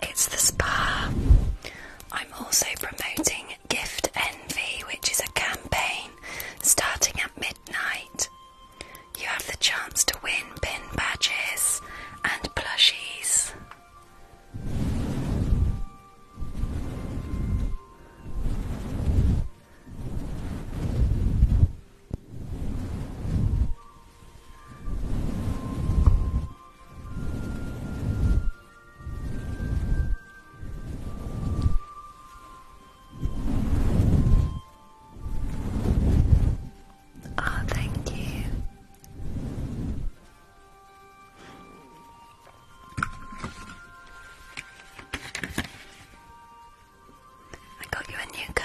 It's the spa. I'm also promoting Gift Envy, which is a campaign starting at midnight. You have the chance to win pin badges and plushies. Oh, thank you. I got you a new comb.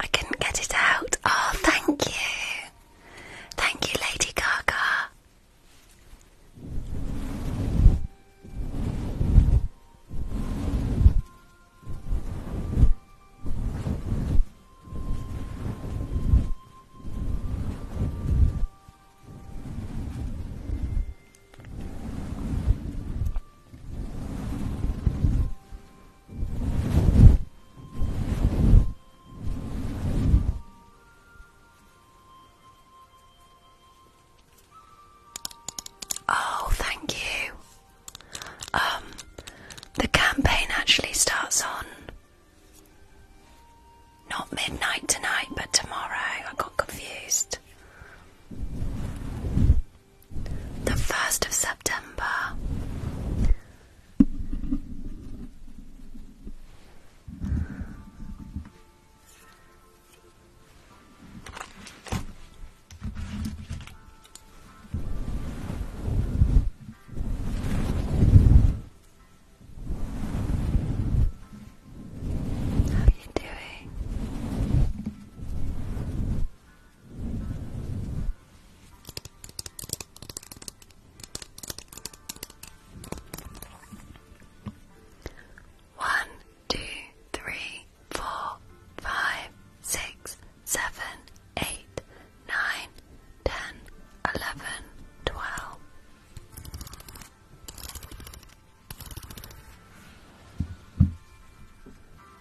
I couldn't get it out. Oh, thank you. Thank you, Lady Gaga. Oh, thank you. Um, the campaign actually starts on not midnight tonight, but tomorrow. I got confused the 1st of September. How are you doing? One, two, three, four, five, six, seven, eight, nine, ten, eleven, twelve.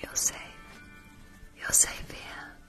You're safe. You're safe here.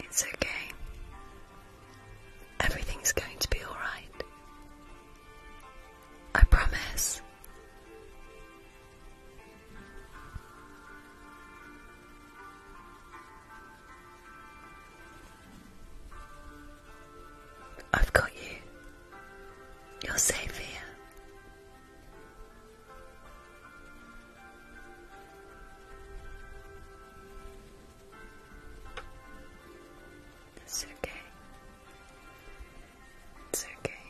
It's okay. Everything's going to be alright. I promise. I've got you. You're safe here. It's okay. It's okay. okay.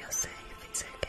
You're safe, it's okay.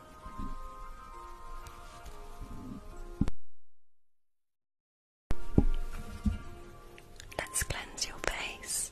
Let's cleanse your face.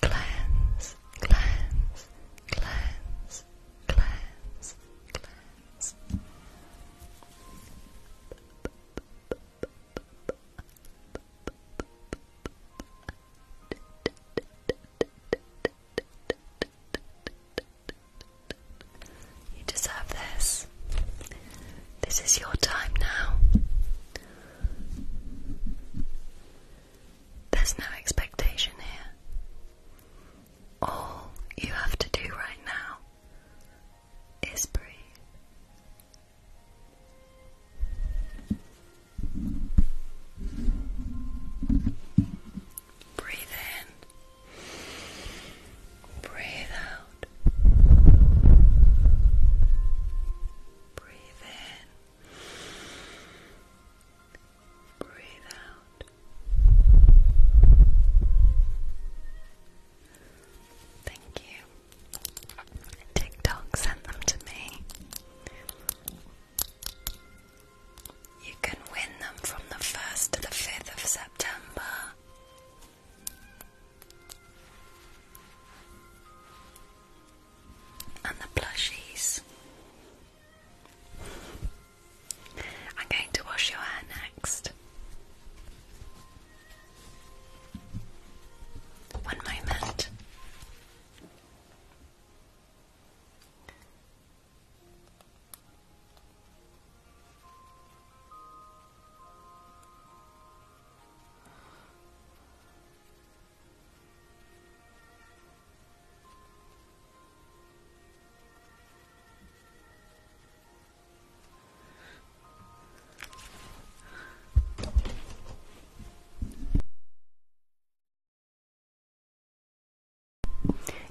Cleanse, cleanse, cleanse, cleanse, cleanse. You deserve this. This is your time now. There's no expectation here. All you have to do right now is breathe. Breathe in, breathe out. Breathe in. Breathe out. Thank you. TikTok sent them to me. You can win them from the 1st to the 5th of September and the plushies. I'm going to wash your hair next. One moment.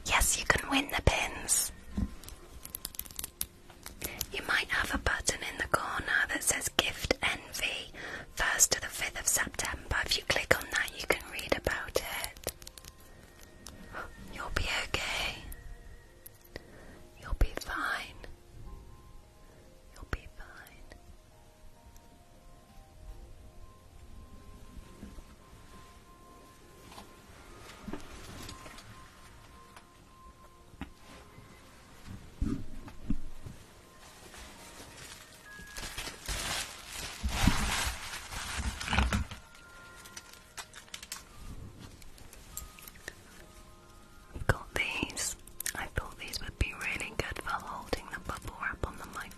Yes, you can win the pins. You might have a button in the corner that says Gift Envy, 1st to the 5th of September. If you click on that, you can read about it. You'll be okay. You'll be fine. You'll be fine. I've got these. I thought these would be really good for holding the bubble wrap on the microphone.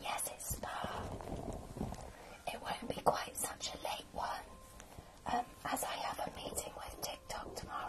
Yes, it's now. It won't be quite such a late one, um, as I have a meeting with TikTok tomorrow.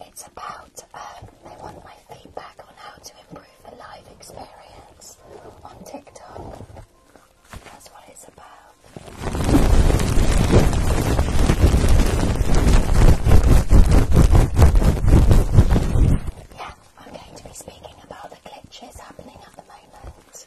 It's about, um, they want my feedback on how to improve the live experience on TikTok. That's what it's about. Yeah, I'm going to be speaking about the glitches happening at the moment.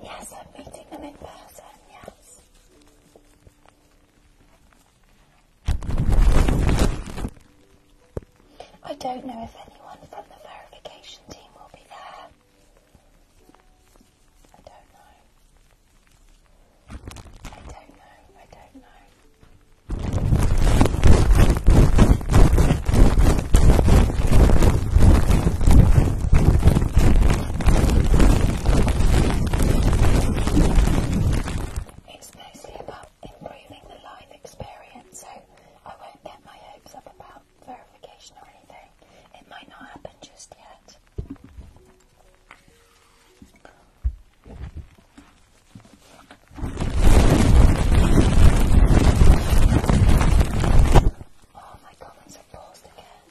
Yes, I'm meeting them in person, yes. I don't know if anyone from the verification team will be there. I don't know. I don't know. I don't know. It's mostly about improving the live experience, so I won't get my hopes up about verification or anything. It might not happen just yet. Oh, my comments are paused again.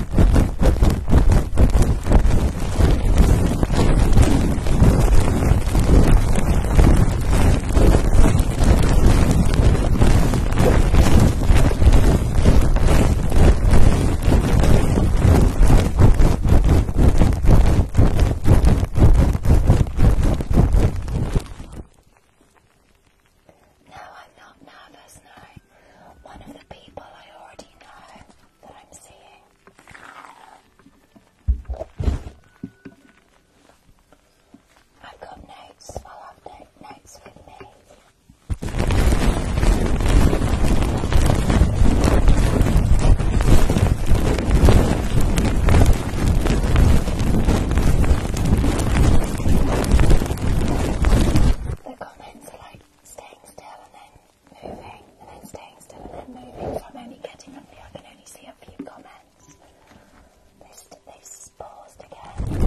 Now I'm not nervous now. One of the people I already know that I'm seeing I've got notes. i have no notes with me. The comments are like staying still and then moving and then staying still and then moving. So I'm only getting up here. I can only see a few comments. This this paused again.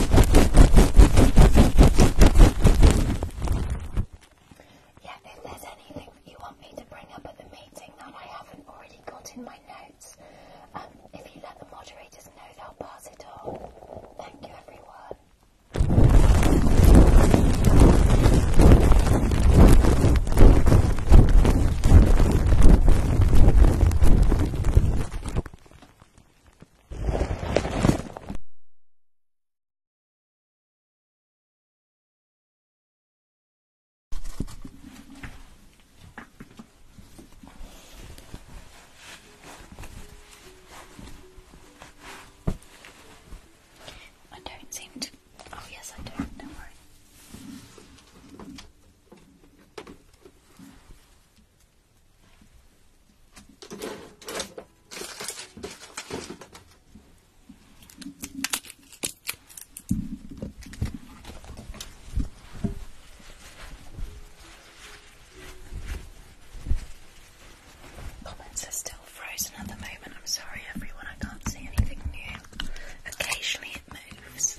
Yeah, if there's anything you want me to bring up at the meeting that I haven't already got in my notes, um, if you let the moderators know, they'll pass it on. Thank you, everyone. I don't seem to. Oh, yes, I do. Don't worry. Comments are still frozen at the moment. I'm sorry, everyone, I can't see anything new. Occasionally it moves.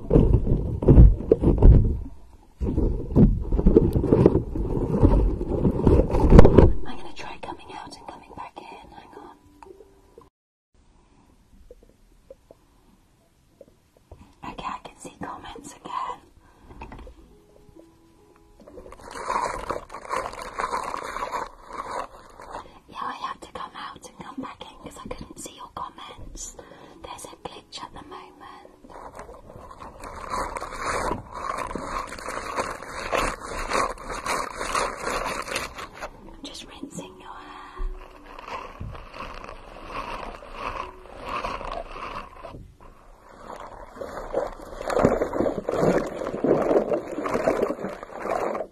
I'm going to try coming out and coming back in. Hang on. Okay, I can see comments again. Yeah, I had to come out and come back in because I couldn't see your comments. There's a glitch at the moment. Just rinsing your hair.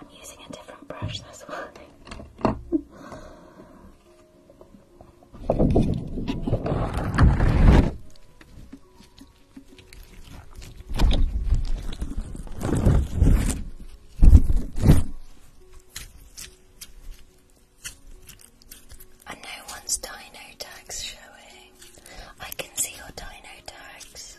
I'm using a different brush, this why. And no one's dino tags showing. I can see your dino tags.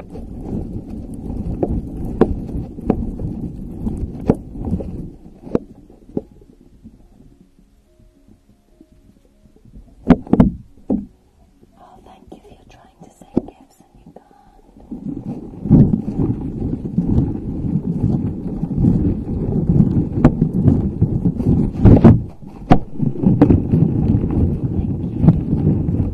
Oh, thank you for your trying to say gifts and you can't. Thank you.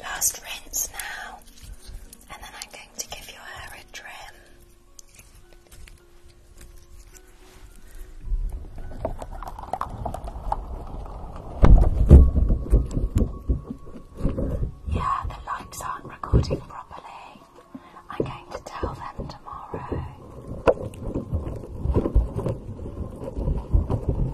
Last rinse now, and then I'm going to give your hair a trim. Yeah, the lights aren't recording properly. I'm going to tell them tomorrow.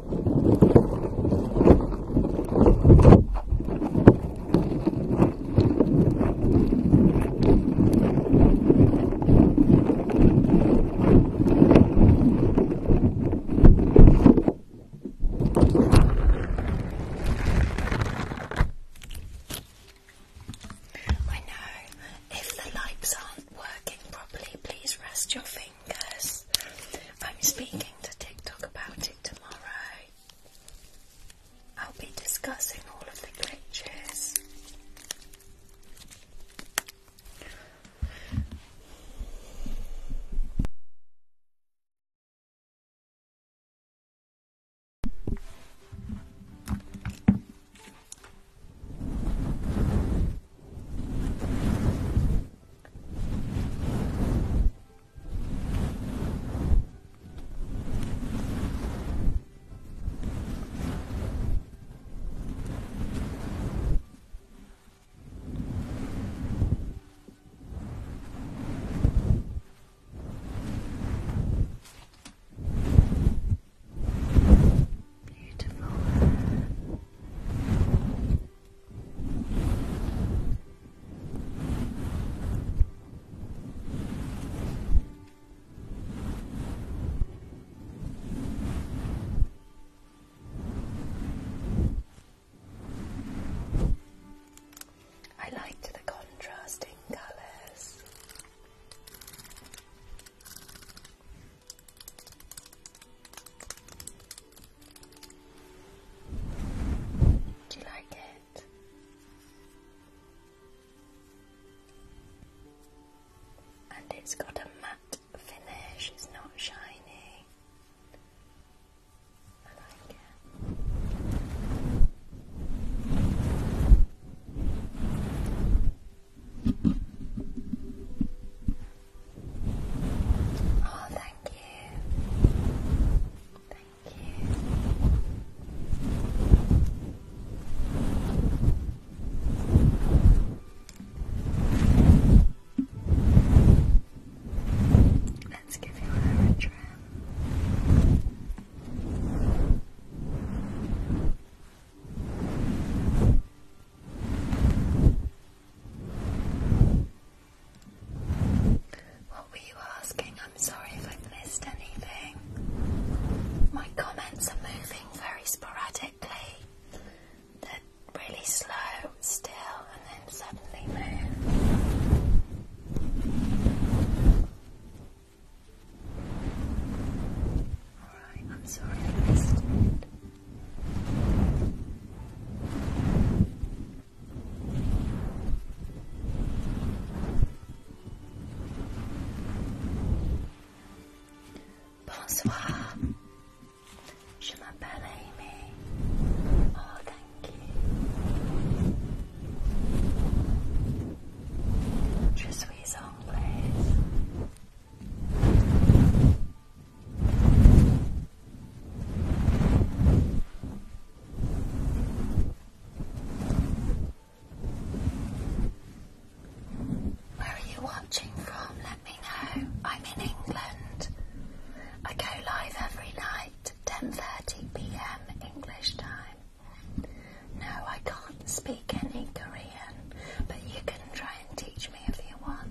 I know if the lights aren't working properly, please rest your fingers because I'm speaking to TikTok about it tomorrow. I'll be discussing all of the glitches. Beautiful hair. I liked the contrasting colours. Do you like it? And it's got a matte finish, it's not shiny. I like it. Oh, thank you. Thank you. Let's give your a trim. What were you asking? I'm sorry if i missed anything. My comments are moving very sporadically. They're really slow, still, and then suddenly move. Alright, I'm sorry I missed Bonsoir, je m'appelle Amy. Oh, thank you. Je suis anglaise. Where are you watching from? Let me know. I'm in England. I go live every night, 10:30 p.m. English time. No, I can't speak any Korean, but you can try and teach me if you want.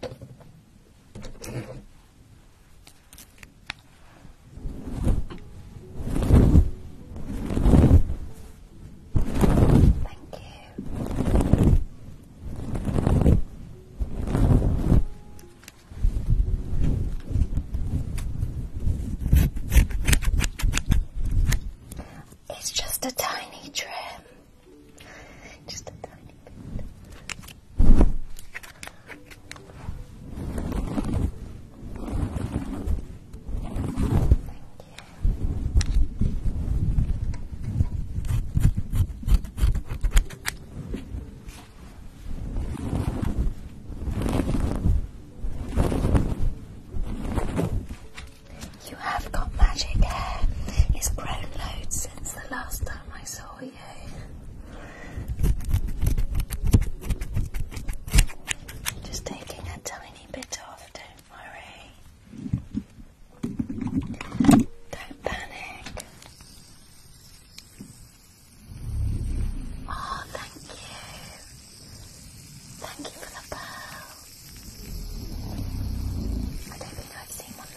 Thank you. It's just a tiny trim you have got magic hair. It's grown loads since the last time I saw you. Just taking a tiny bit off, don't worry. Don't panic. Oh, thank you. Thank you for the pearl. I don't think I've seen one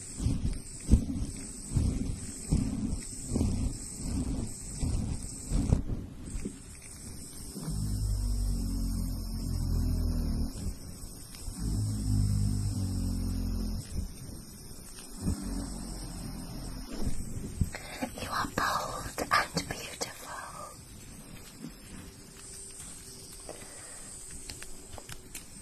You are bold and beautiful.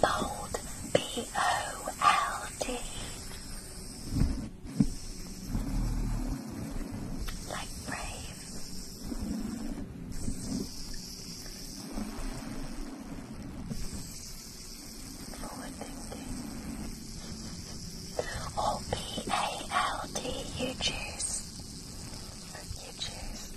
Bold, B O L D. Like brave. Forward thinking. Or B A L D. You choose. You choose.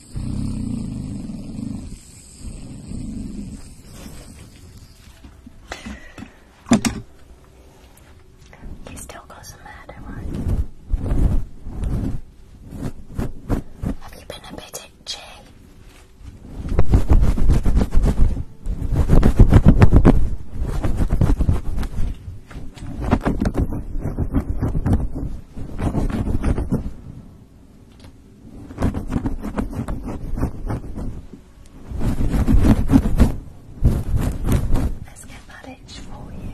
He still goes mad at one. Have you been a bit itchy? Let's get that for you.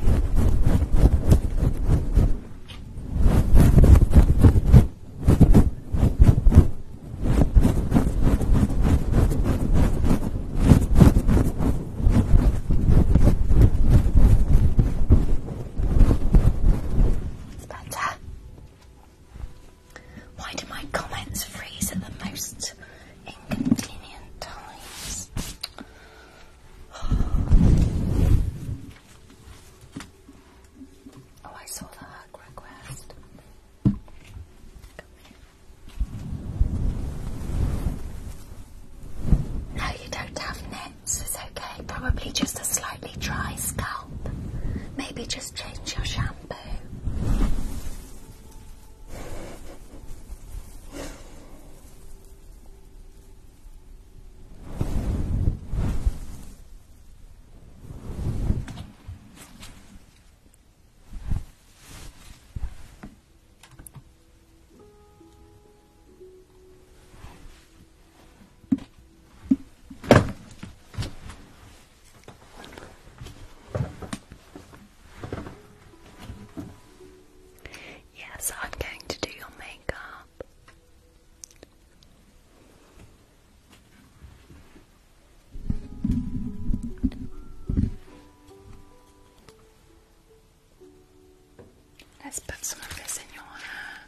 It's why do my comments freeze at the most inconvenient times? Oh, I saw the request. No, you don't have net sense. It's okay. Probably just a slightly dry scalp. Maybe just change your shampoo. Yes, I'm going to do your makeup. Let's put some of this in your hair.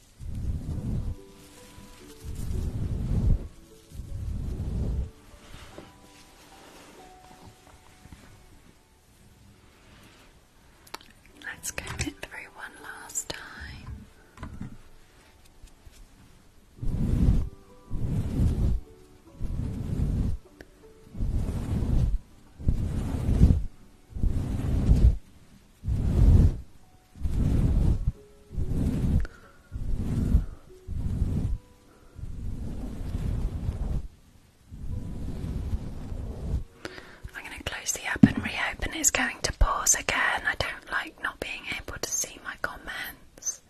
Let's go through one last time. I'm going to close the app and reopen. It's going to pause again. I don't like not being able to see my comments.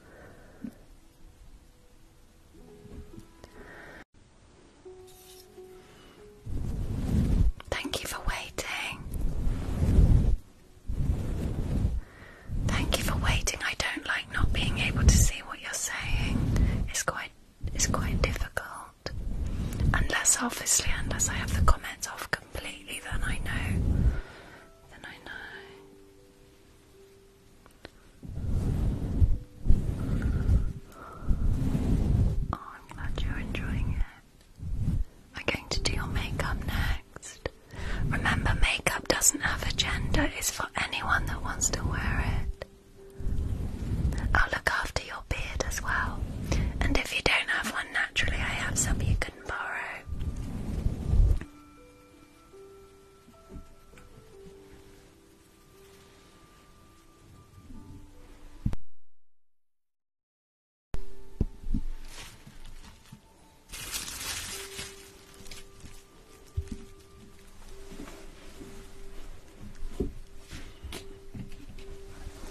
Thank you for waiting. Thank you for waiting. I don't like not being able to see what you're saying. It's quite it's quite difficult. Unless obviously unless I have the comments off completely then I know. Then I know. Oh, I'm glad you're enjoying it. We're going to do your makeup next. Remember, makeup doesn't have a gender, it's for anyone that wants to wear it. I'll look after your beard as well. And if you don't have one naturally, I have some you can borrow.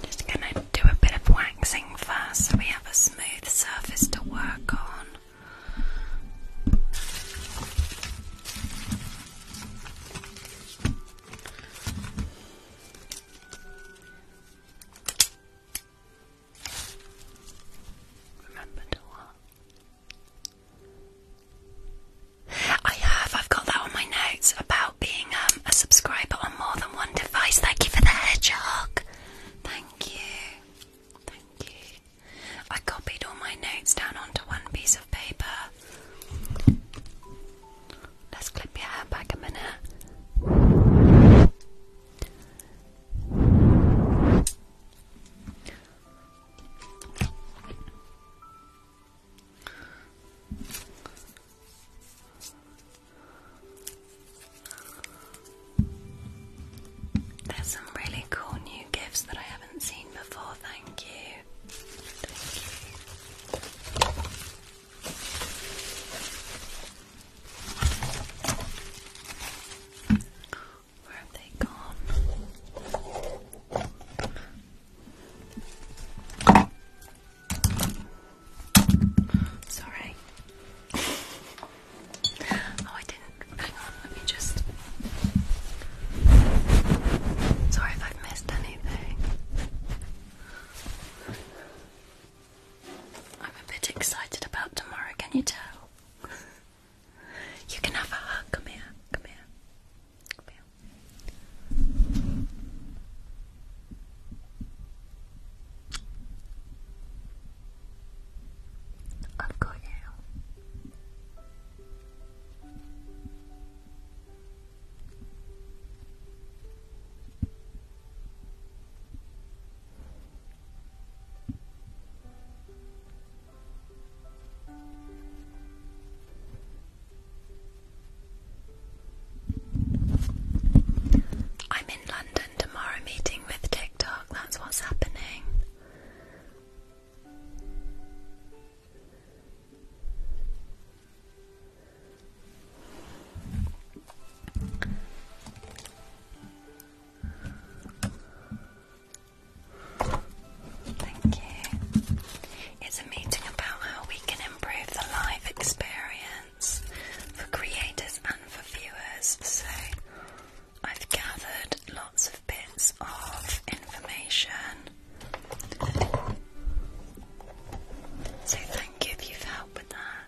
Just going to do a bit of waxing first so we have a smooth surface to work on. Remember what? I have, I've got that on my notes about being um, a subscriber on more than one device. Thank you for the hedgehog. Thank you. Thank you. I copied all my notes down onto one piece of paper. Let's clip your hair back a minute. There's some really cool new gifts that I haven't seen before, thank you. Thank you. Where have they gone? Sorry. Oh, I didn't. Hang on, let me just. Sorry if I've missed anything. I'm a bit excited about tomorrow, can you tell? you can have a hug. Come here, come here, I've got you. I'm in London tomorrow meeting with TikTok, that's what's happening. Thank you. It's a meeting about how we can improve the live experience for creators and for viewers. So I've gathered lots of bits of information. So thank you if you've with that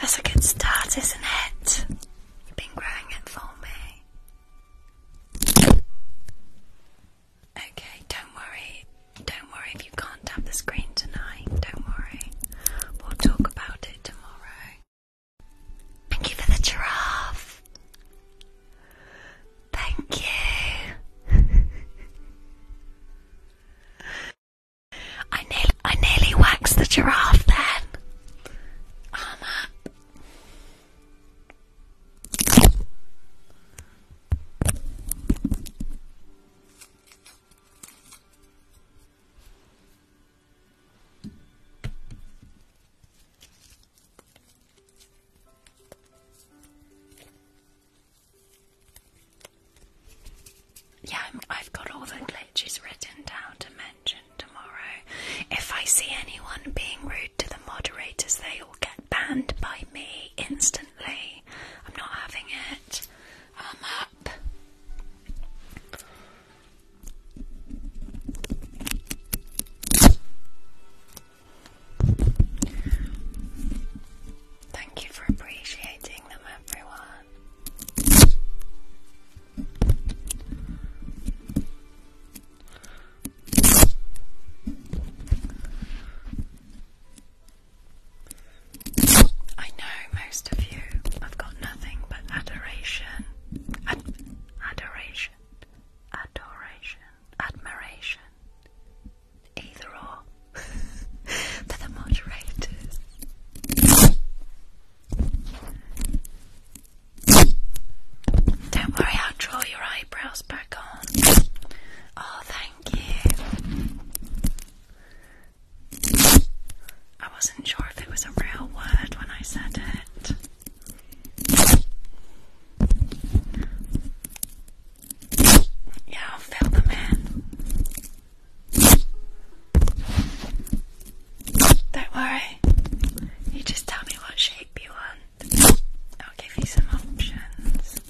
That's a good start, isn't it? You've been growing it for me. Okay, don't worry. Don't worry if you can't tap the screen tonight. Don't worry. We'll talk about it tomorrow. Thank you for the giraffe. Thank you. I nearly, I nearly waxed the giraffe then. Arm yeah, i have got all the glitches written down to mention tomorrow. If I see anyone being rude to the moderators, they all get banned by me instantly. I'm not having it. I'm up. Thank you for appreciating them, everyone. I know most of you have got nothing but adoration. Ad adoration adoration, admiration. Either or. they the moderators. Don't worry, I'll draw your eyebrows back on. Oh, thank you. I wasn't sure if it was a real word when I said it. Yeah, fill them in. Don't worry. You just tell me what shape you want. I'll give you some options.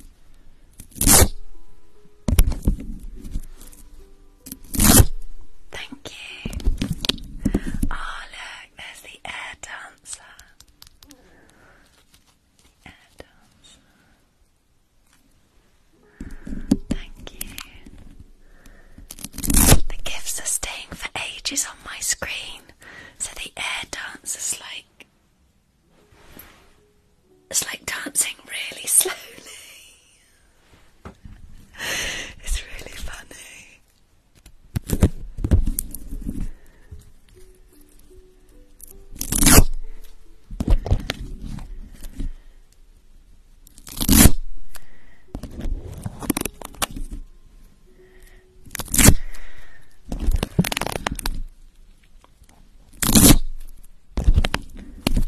Thank you. Oh, look, there's the air done answer. Uh, the answer. Thank you. The gifts are staying for ages on my screen, so the air dance is like it's like dancing really slowly. it's really funny.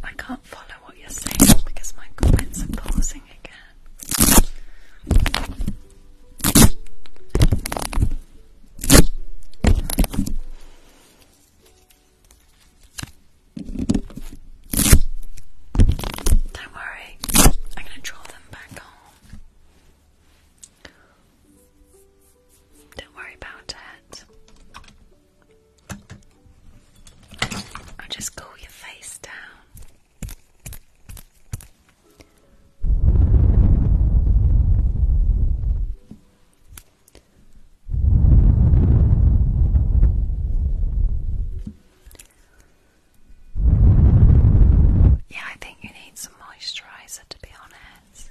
I can't follow what you're saying because my comments are pausing again. Don't worry, I'm going to draw them back home. Don't worry about it. I'll just cool your face down. Yeah, I think you need some moisturizer to be honest.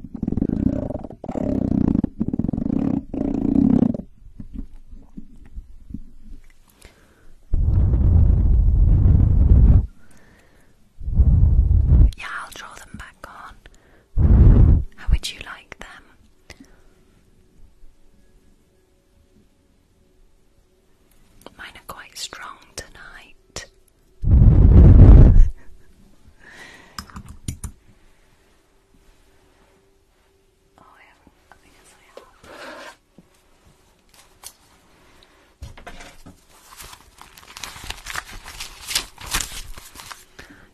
Yeah, I'll draw them back on. How would you like them? Mine are quite strong tonight. Oh,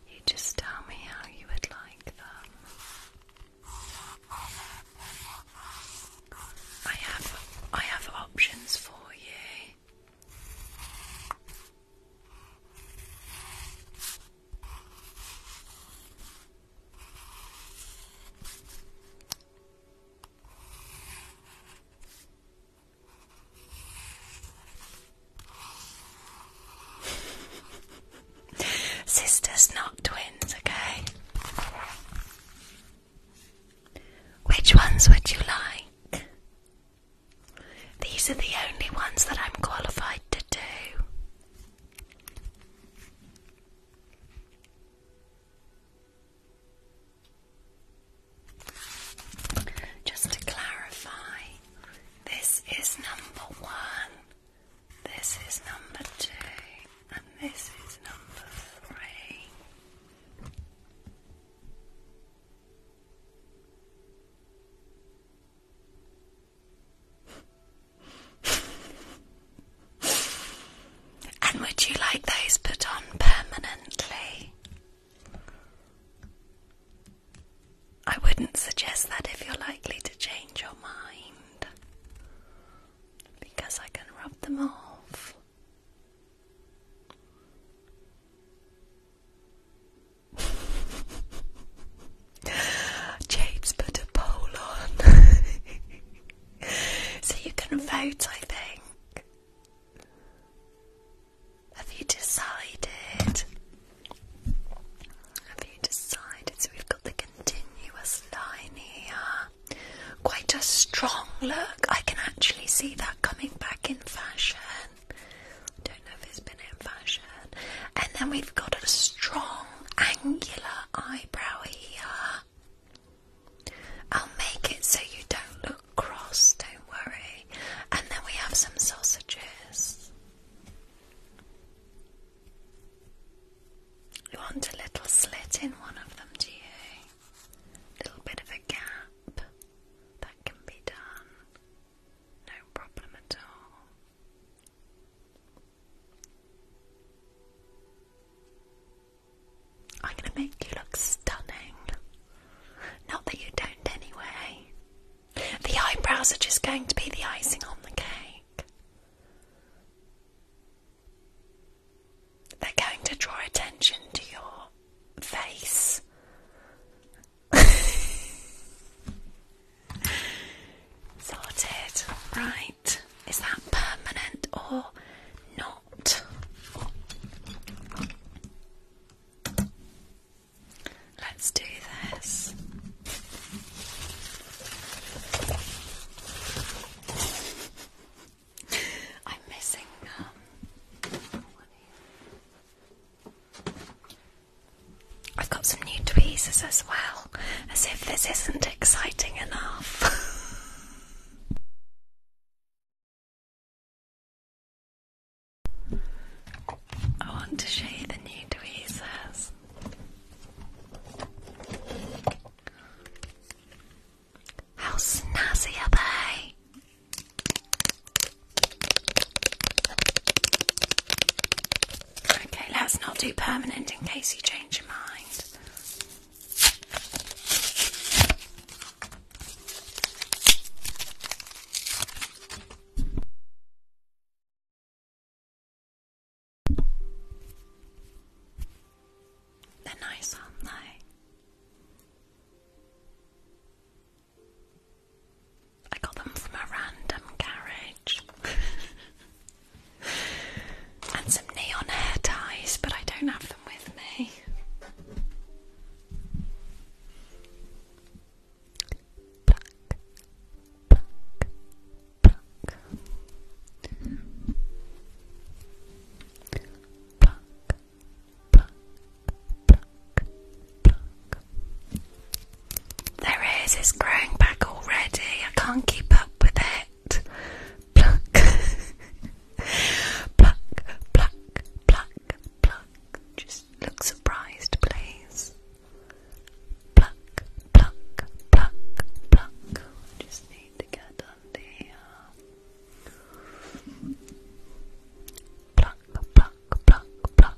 you just tell me how you would like them. I have I have options for you. Sisters, not twins, okay? Which ones would you like? These are the only ones that I'm qualified to do. Just to clarify, this is number one, this is number two, and this is number three. And would you like those put on permanently? I wouldn't suggest that if you're likely to change your mind because I can rub them off. James put a poll on. so you can vote, I think. Have you decided? Have you decided? So we've got the continuous line here. Quite a strong look. I can actually see that coming back in fashion. Don't know if it's been in fashion. And then we've got a strong angular eyebrow here. I'll make it so you don't look cross, don't worry. And then we have some sausages. You want a little slit in one of them, do you? A little bit of a gap. That can be done. No problem at all. I'm going to make you look stunning. Not that you don't, anyway. The eyebrows are just going to be the icing on the cake. They're going to draw attention to your face Sorted. Right. Is that permanent or not? Let's do this. I'm missing um, I've got some new tweezers as well, as if this isn't exciting enough. I want to show you the new tweezers. How snazzy are they? Okay, let's not do permanent in case you change your mind. They're nice, aren't they nice are I got them from a random carriage. and some neon hair ties, but I don't have them with me pluck, pluck. Their ears is growing back already. I can't keep up with it. Pluck, pluck, pluck, pluck, pluck. Just look surprised, please. Pluck, pluck, pluck, pluck. Just need to get under Pluck, pluck, pluck, pluck,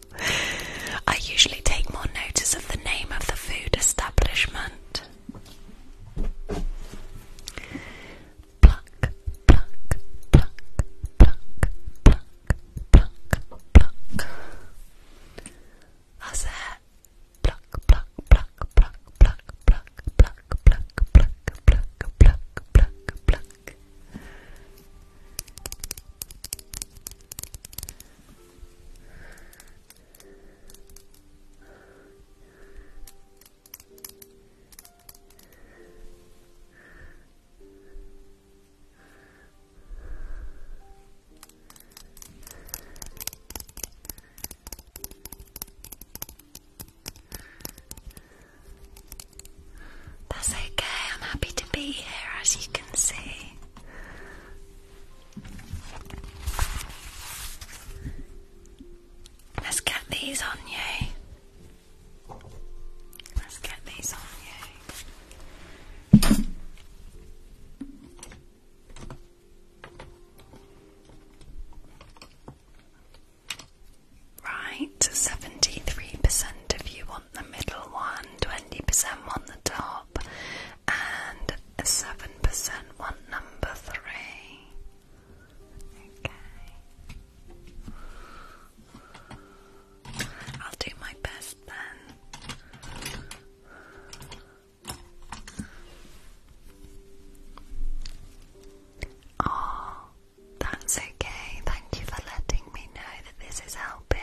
I usually take more notice of the name of the food establishment. That's okay, I'm happy to be here as you can see. Let's get these on you. Let's get these on you. Right, 73% of you want the middle one. 20% want the top, and 7% want number 3. Okay. I'll do my best then. Oh, that's okay. Thank you for letting me know that this is helping.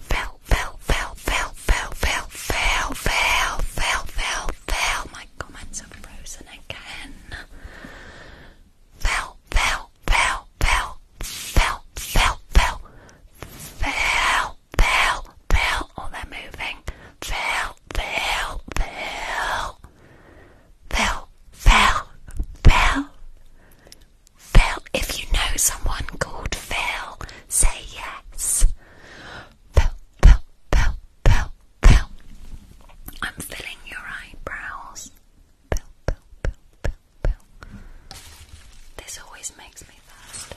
Fell, fell, fell, fell, fell, fell, fell, fell, fell, fell, fell. My comments are frozen again. Fell, fell, fell, fell, fell, fell, fell, fell, fell, fell. Oh, they're moving fell, fell, fell, fell, fell, fell, fell. If you know someone called Phil, say yes. Phil, Phil, Phil, Phil, Phil. I'm filling your eyebrows. Phil, Phil, Phil, Phil, Phil. This always makes me thirsty.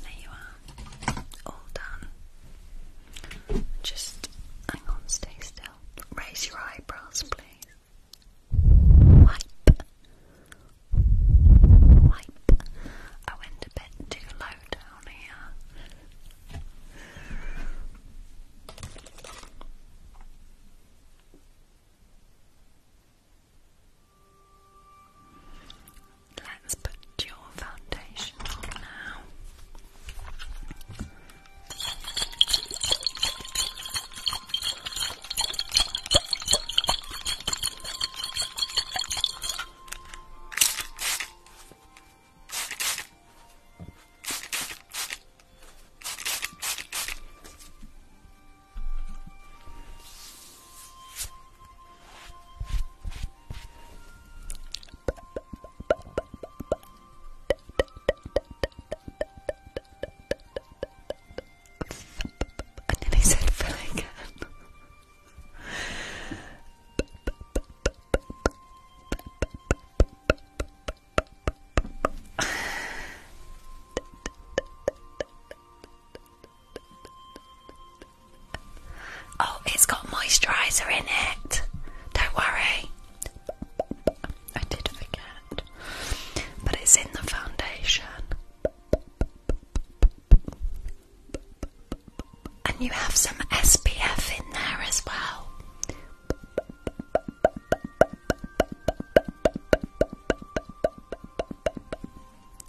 there you are. All done. Just hang on, stay still. Raise your eyebrows, please. Wipe. Wipe. I went a bit too low down here. Let's put your foundation on now. And then I said fill again. Oh, it's got moisturiser in it. Don't worry. I did forget. But it's in the foundation. And you have some SPF in there as well.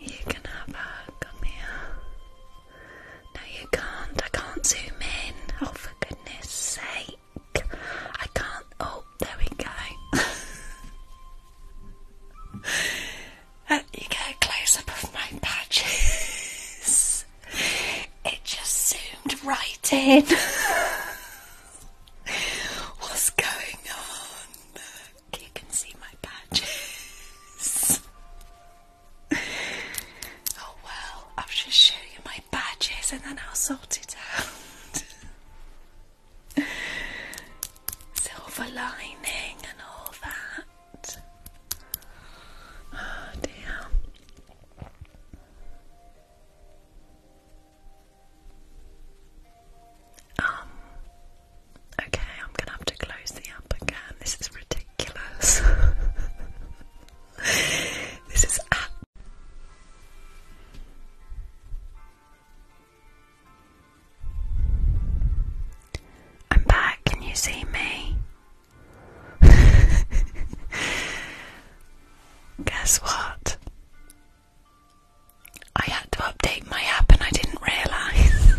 You can have her. Come here. No, you can't. I can't zoom in. Oh, for goodness sake. I can't. Oh, there we go. Uh, you get a close up of my patches. it just zoomed right in. What's going on? you can see my badges. oh well, I'll just show you my badges and then I'll sort it out. Silver lining and all that. Oh dear. Um, okay, I'm gonna have to close the app again. This is ridiculous. this is I'm back. Can you see me? Guess what? I had to update my app and I didn't realise.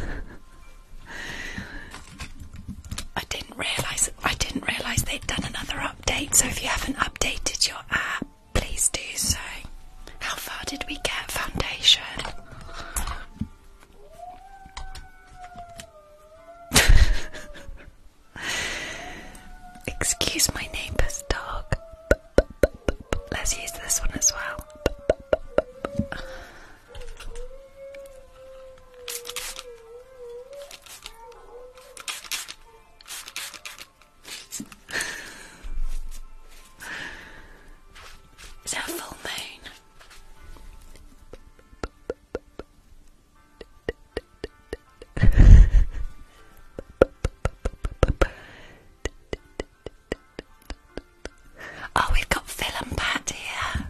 I didn't realise I didn't realise they'd done another update, so if you haven't updated your app, please do so. How far did we get foundation? Excuse my neighbour's dog. Let's use this one as well. Is that full moon? Oh, we've got Phil and Pat here.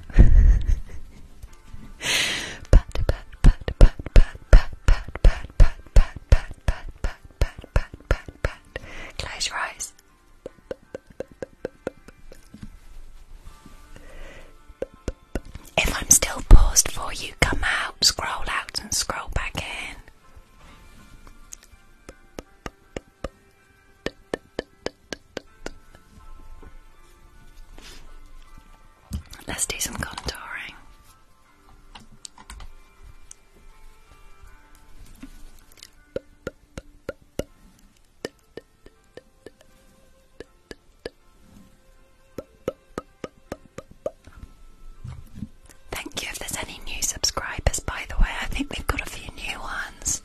Close your eyes. If I'm still paused for you, come out, scroll out, and scroll back in. Let's do some contouring. Thank you if there's any new subscribers, by the way. I think we've got a few new ones.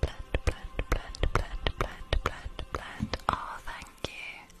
Blend, blend, blend, blend, blend, blend, blend. Oh, thank you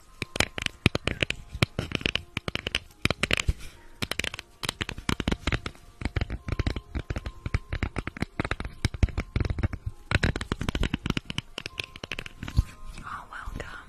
Oh, welcome.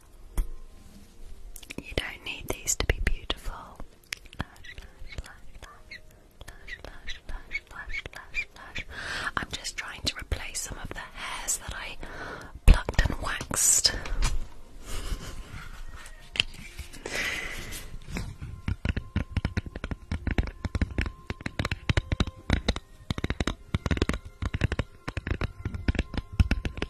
You don't need these to be beautiful. I'm just trying to replace some of the hairs that I plucked and waxed.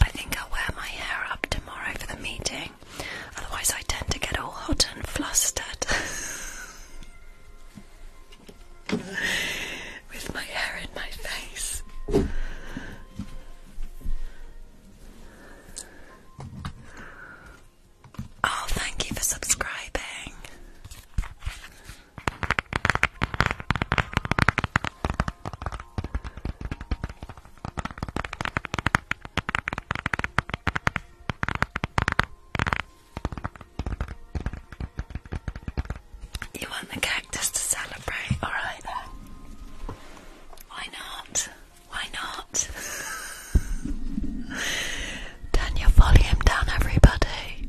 I think I'll wear my hair up tomorrow for the meeting, otherwise, I tend to get all hot and flustered with my hair in my face. Oh, thank you for subscribing. You want the cactus to celebrate, alright Why not? Why not? Turn your volume down, everybody.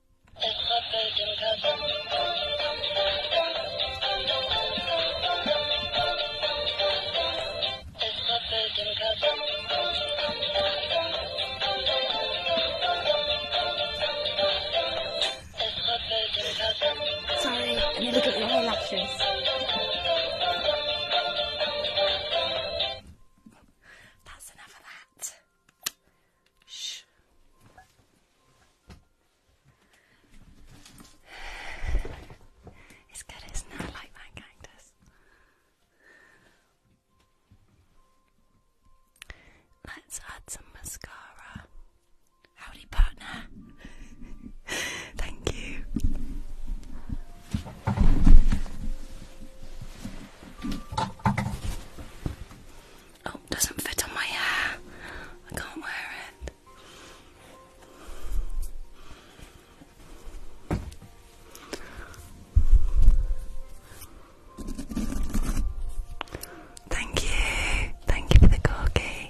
Sorry, I need to get my whole lectures. That's enough of that. Shh. It's good, It's not it? I like that cactus. Let's add some mascara. Howdy, partner. Thank you. Oh, doesn't fit on my hair. I can't wear it. Thank you. Thank you for the corky.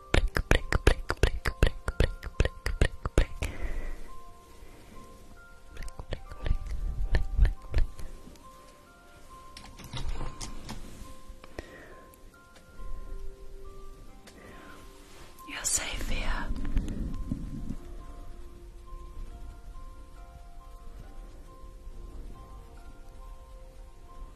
blink, blink, blink, blink, blink, blink, blink, blink, blink. Blink, blink, blink, blink, You're safe here.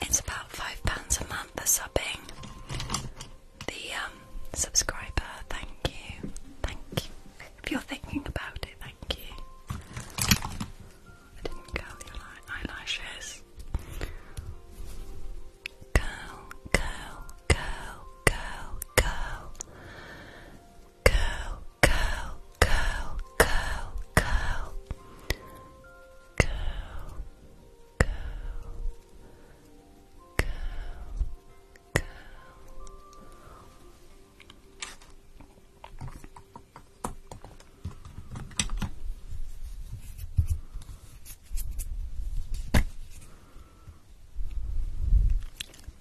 It's about five pounds a month for subbing. The um, subscriber, thank you, thank you. If you're thinking about it, thank you. I didn't curl your eyelashes. Curl, curl, curl, curl, curl curl, curl, curl, curl, curl, curl, curl, curl, curl. Curl,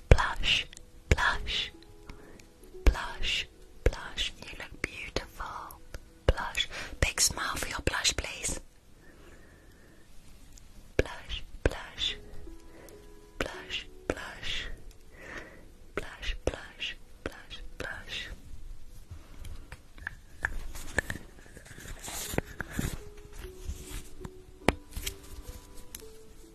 Blush, blush, blush, blush. You look beautiful. Blush. Big smile for your blush, please. Blush, blush, blush, blush, blush, blush, blush, blush.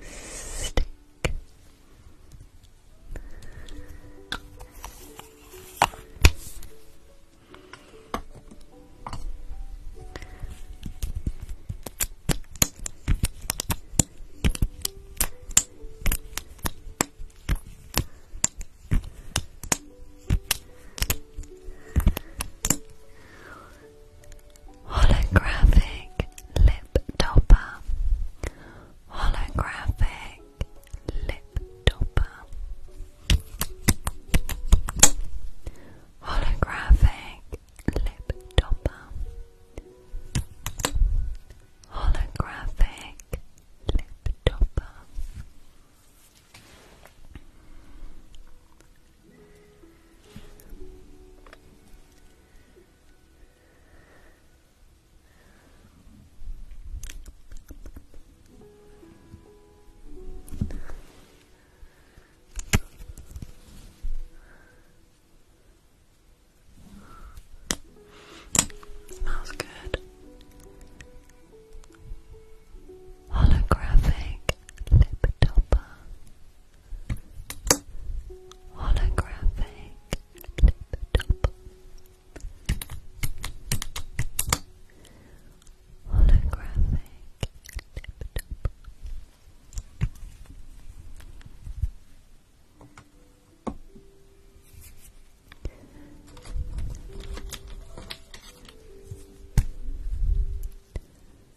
Steak holographic lip topper, holographic lip topper, holographic lip topper, holographic lip topper. Smells good. Holographic lip topper holographic tip-top holographic tip-top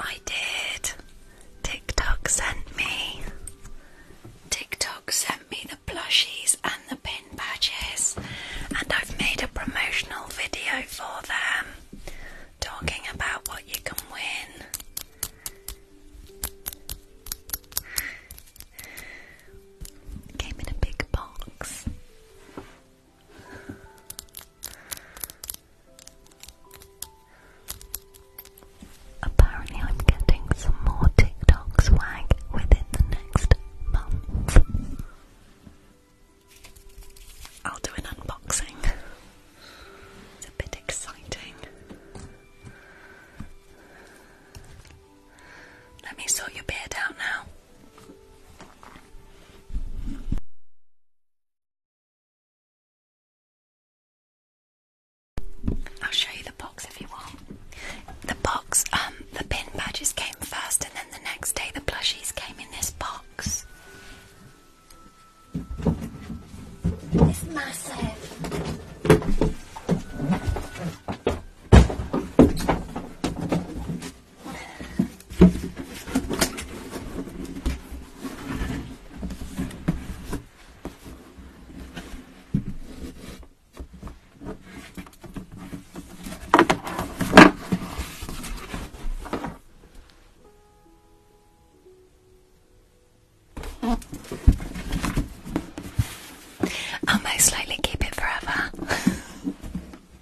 I did. TikTok sent me. TikTok sent me the plushies and the pin badges, and I've made a promotional video for them talking about what you can win. Came in a big box. Apparently, I'm getting some more TikTok swag within the next month. I'll do an unboxing. It's a bit exciting. Let me sort your beard out now. I'll show you the box if you want. The box, um, the pin badges came first, and then the next day the plushies came in this box. It's massive. I will most likely keep it forever.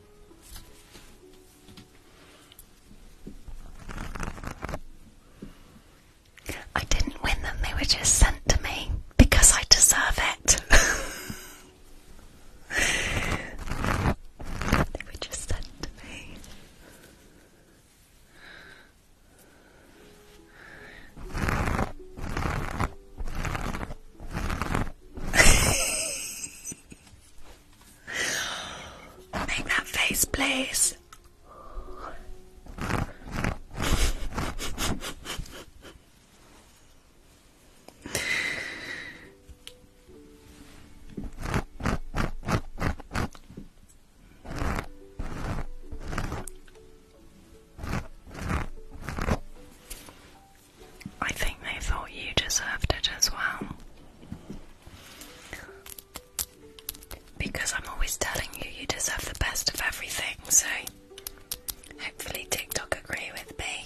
I didn't win them, they were just sent to me because I deserve it. they were just sent to me. Make that face, please. I think they thought you deserved it as well. Because I'm always telling you, you deserve the best of everything, so hopefully, TikTok agree with me.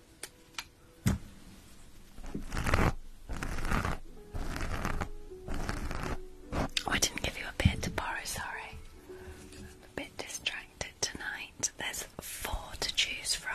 Oh, I didn't give you a bit to borrow, sorry. I'm a bit distracted tonight. There's four to choose from.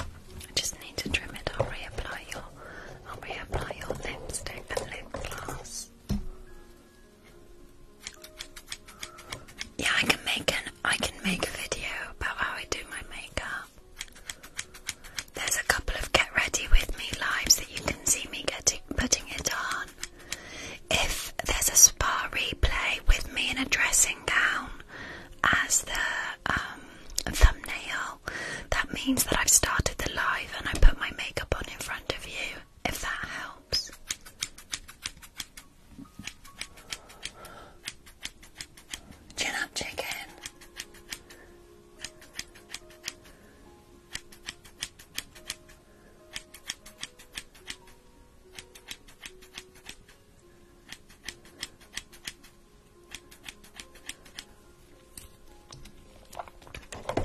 I just need to trim it. i reapply your, reapply your lipstick and lip gloss. Yeah, I can make an, I can make a video about how I do my makeup. There's a couple of get ready with me lives that you can see me getting putting it on. If there's a spa replay with me in a dressing gown as the um, thumbnail, that means that I've started the live and I put my makeup on in front of you, if that helps. Chin up, chicken.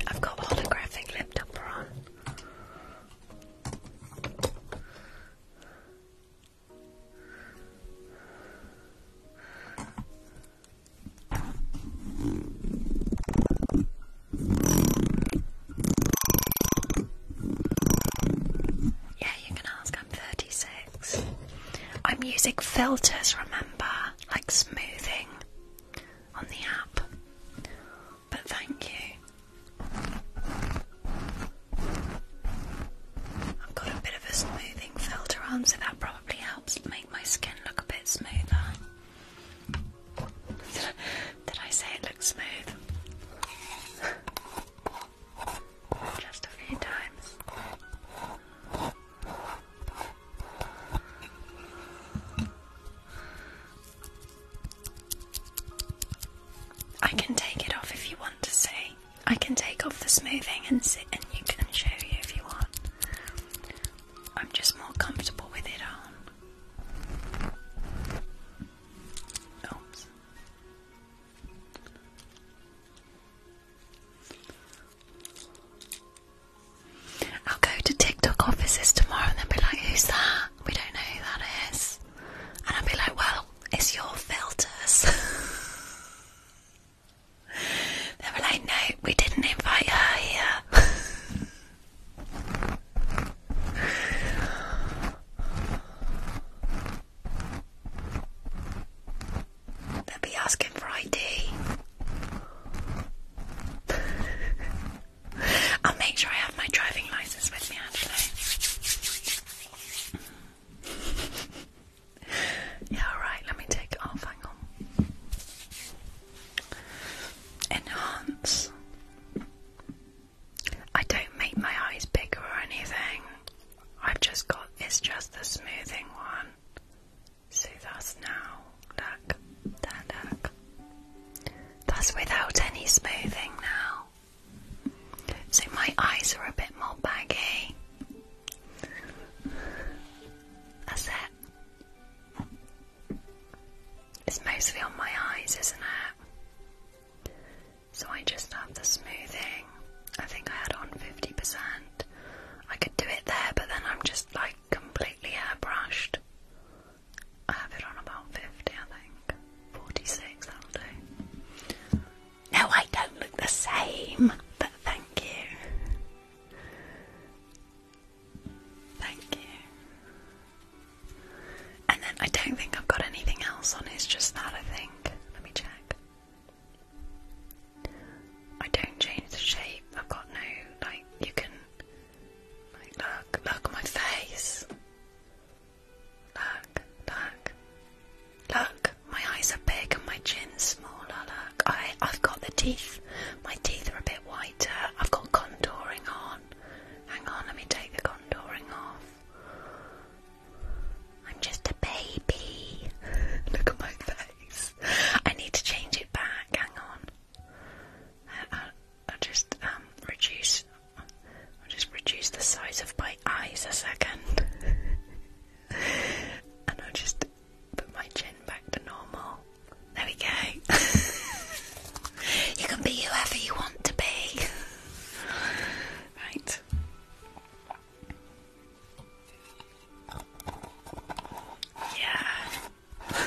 I've got holographic lip topper on. Yeah, you can ask. I'm 36. I'm using filters, remember? Like smoothing on the app. But thank you. I've got a bit of a smoothing filter on, so that probably helps make my skin look a bit smoother. Did I say it looks smooth? Just a few times. I can take it off if you want to see. I can take off the smoothing and sit and you can show you if you want. I'm just more comfortable with it on. Oops. I'll go to TikTok offices tomorrow and they'll be like, who's that? We don't know who that is. And I'll be like, well, it's your filters. they were like, no, we didn't invite her here. They'll be asking for ID. I'll make sure I have my driving license with me, actually. yeah, alright, let me take it off. Hang Enhance. I don't make my eyes bigger or anything. I've just got it's just the smoothing one. So that's now. Look. There, look. That's without any smoothing now. So my eyes are a bit more baggy. That's it. It's mostly on my eyes, isn't it? So I just have the smoothing. I think I had on 50%. I could do it there, but then I'm just like completely airbrushed. I have it on about 50, I think. 46, that'll do. No, I don't look the same, but thank you. Thank you. And then I don't think I've got anything else on, it's just that I think. Let me check. I don't change the shape, I've got no, like, you can, look, look my face. Look, look, look, my eyes are big and my chin's smaller, look. I've got the teeth my teeth are a bit whiter. I've got contouring on. Hang on, let me take the contouring off. I'm just a baby. Look at my face. I need to change it back. Hang on. I, will just um, reduce. I'll just reduce the size of my eyes a second, and I'll just put my chin back to normal. There we go. you can be whoever you want to be. right. Yeah.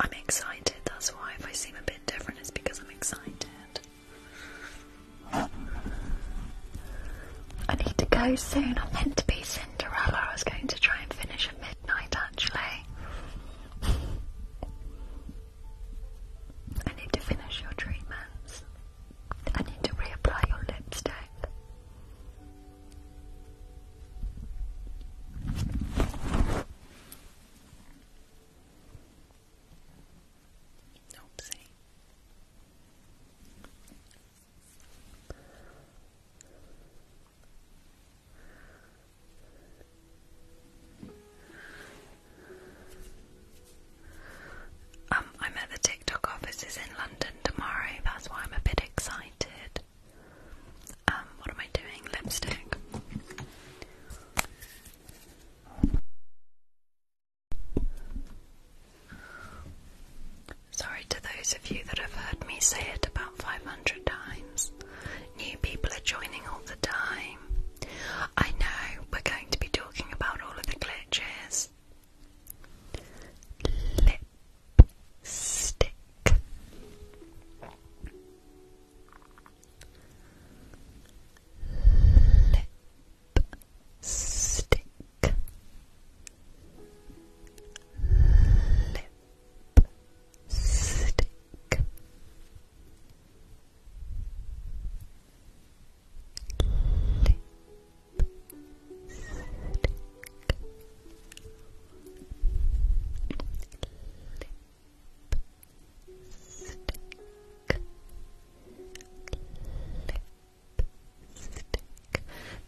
I'm excited, that's why if I seem a bit different it's because I'm excited. I need to go soon. I'm meant to be Cinderella. I was going to try and finish at midnight actually. I need to finish your treatments. I need to reapply your lipstick. Oopsie. Um, I'm at TikTok office is in London tomorrow, that's why I'm a bit excited. Um, what am I doing? Lipstick. Sorry to those of you that have heard me say it about 500 times. New people are joining all the time. I know we're going to be talking about all of the glitches, lipstick lipstick lipstick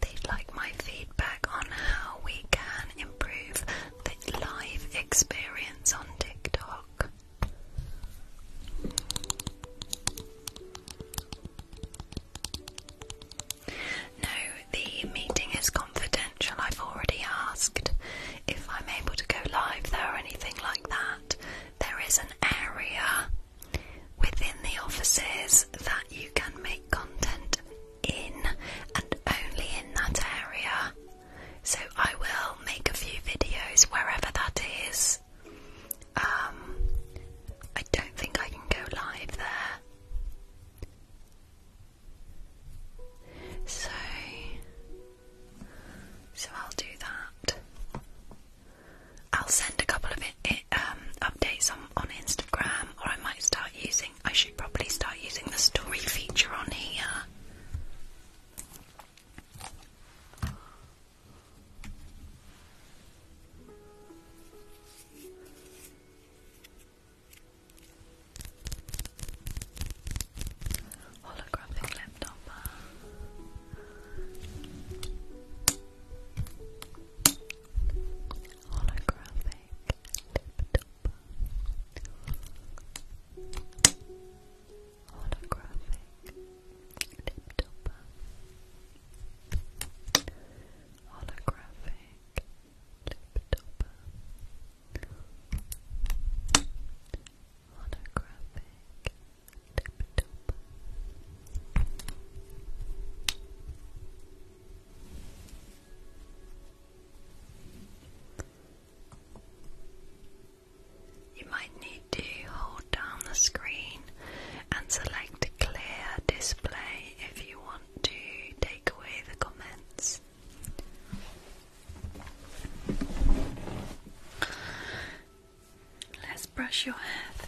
They'd like my feedback on how we can improve the live experience on TikTok. No, the meeting is confidential. I've already asked if I'm able to go live there or anything like that. There is an area within the offices that you can make content in and only in that area. So I will make a few videos wherever that is. Um, I don't think I can go live there. So, so I'll do that. I'll send a couple of it, um, updates on, on Instagram, or I might start using. I should probably start using the story feature on here. Holographic laptop. Holographic laptop. Holographic laptop holographic lip topper. Holographic lip topper. You might need to hold down the screen and select clear display if you want to take away the comments. Let's brush your hair through.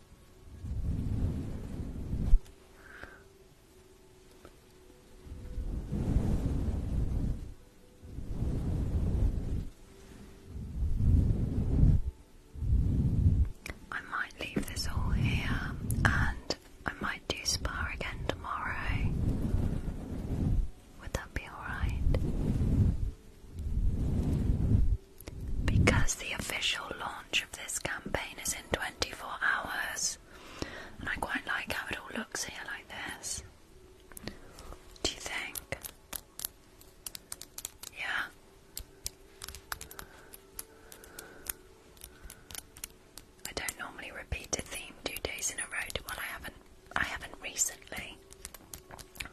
I might leave this all here and I might do spa again tomorrow. Would that be alright? Because the official launch of this campaign is in 24 hours, and I quite like how it all looks here like this. Do you think? Yeah. I don't normally repeat a theme two days in a row. Well, I haven't. I haven't recently,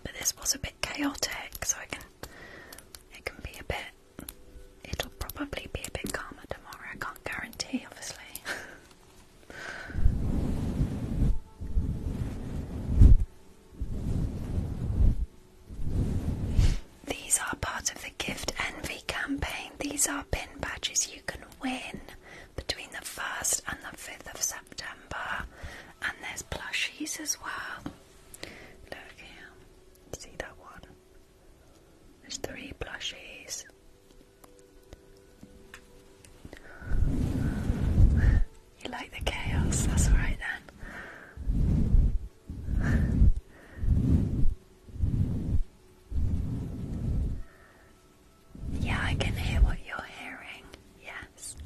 but this was a bit chaotic, so I can. It can be a bit it'll probably be a bit calmer tomorrow. I can't guarantee, obviously. These are part of the Gift Envy campaign. These are pin badges you can win between the 1st and the 5th of September. And there's plushies as well. Look here. See that one? There's three plushies. you like the chaos, that's alright then. yeah, I can hear what you're hearing, yes.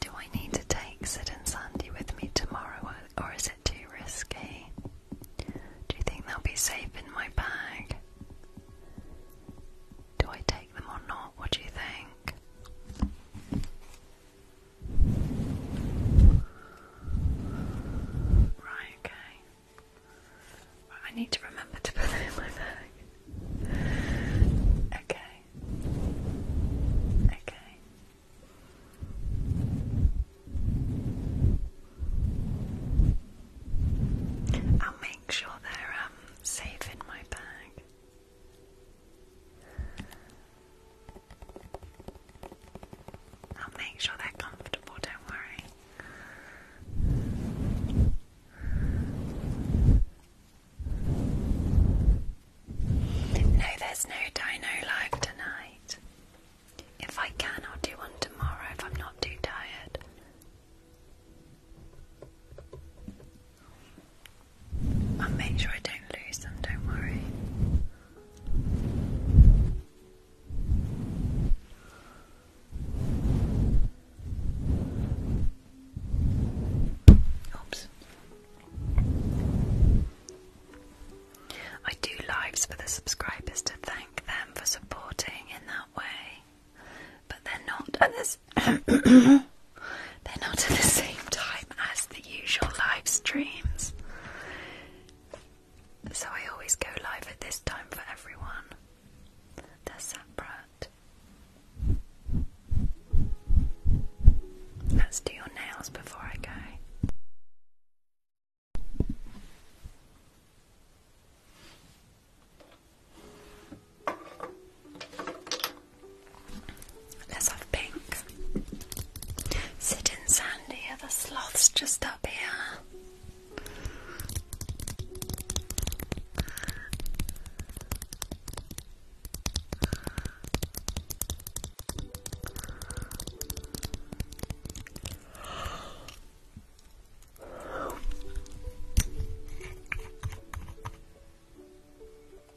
Do I need to take Sid and Sandy with me tomorrow, or is it too risky? Do you think they'll be safe in my bag? Do I take them or not? What do you think? Right, okay. I need to remember to put that in my bag. Okay. Okay. I'll make sure they're um, safe in my bag. I'll make sure they're comfortable, don't worry. No, there's no dino live tonight. If I can, I'll do one tomorrow if I'm not too tired. I'll make sure I don't lose them, don't worry. Oops. I do lives for the subscribers to thank them for supporting in that way, but they're not at the same time as the the usual live streams. So I always go live at this time for everyone. They're separate. Let's do your nails before I go. Let's have pink. Sitting sandy, are the sloth's just up here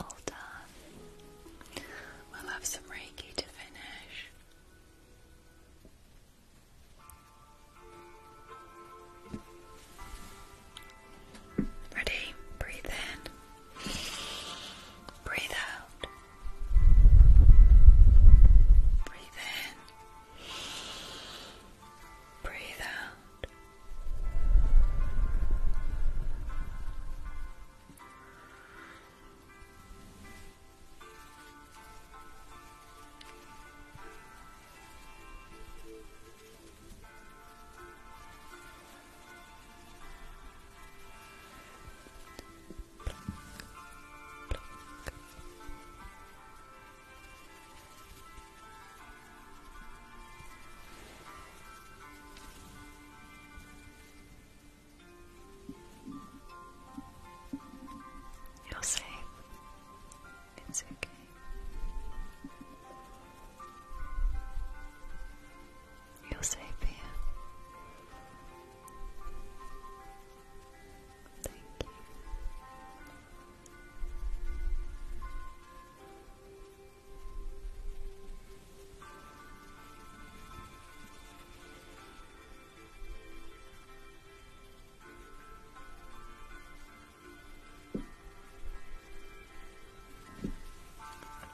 All done. We'll have some Reiki to finish. Ready? Breathe in. Breathe out. Breathe in. Breathe out you will safe. It's okay you will save him. Thank you.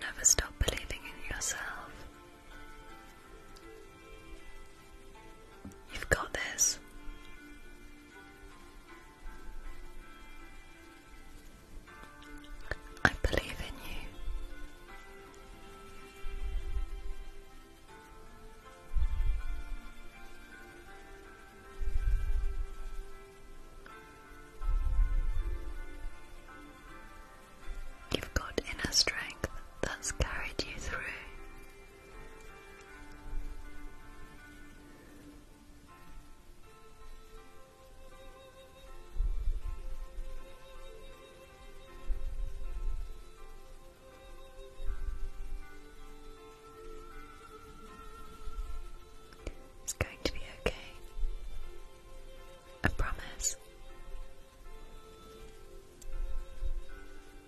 Never stop believing in yourself. You've got this. I believe in you. You've got inner strength that's carried you through. It's going to be okay. I promise.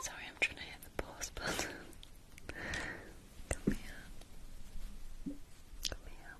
Sorry, I'm trying to hit the pause button. Come here. Come here.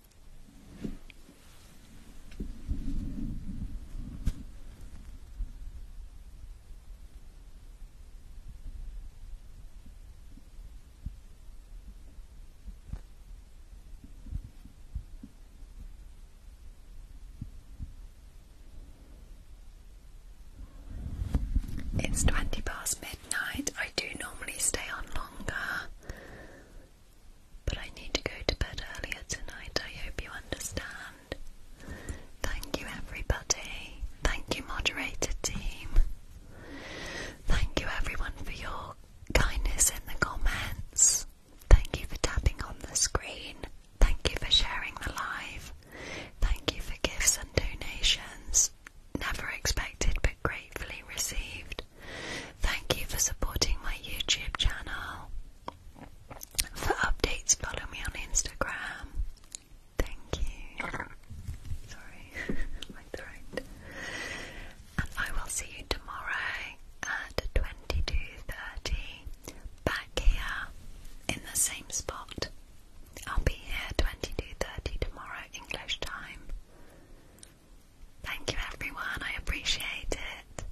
It's 20 past midnight. I do normally stay on longer, but I need to go to bed earlier tonight. I hope you understand. Thank you, everybody. Thank you, moderator team. Thank you everyone for your kindness in the comments. Thank you for tapping on the screen. Thank you for sharing the live. Thank you for gifts and donations. Never expected but gratefully received. Thank you for supporting my YouTube channel. For updates, follow me on Instagram. Thank you. Sorry, my throat. And I will see you tomorrow at 22.30 back here in the same spot. I'll be here 22.30 tomorrow English time. Thank you everyone, I appreciate it.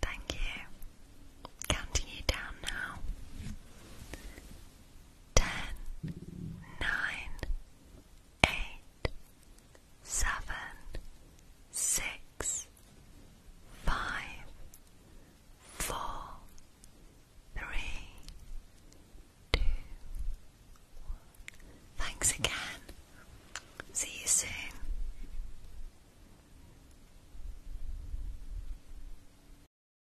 Thank you. Counting you down now ten, nine, eight, seven, six, five, four, three, two, one. Thanks again. See you soon.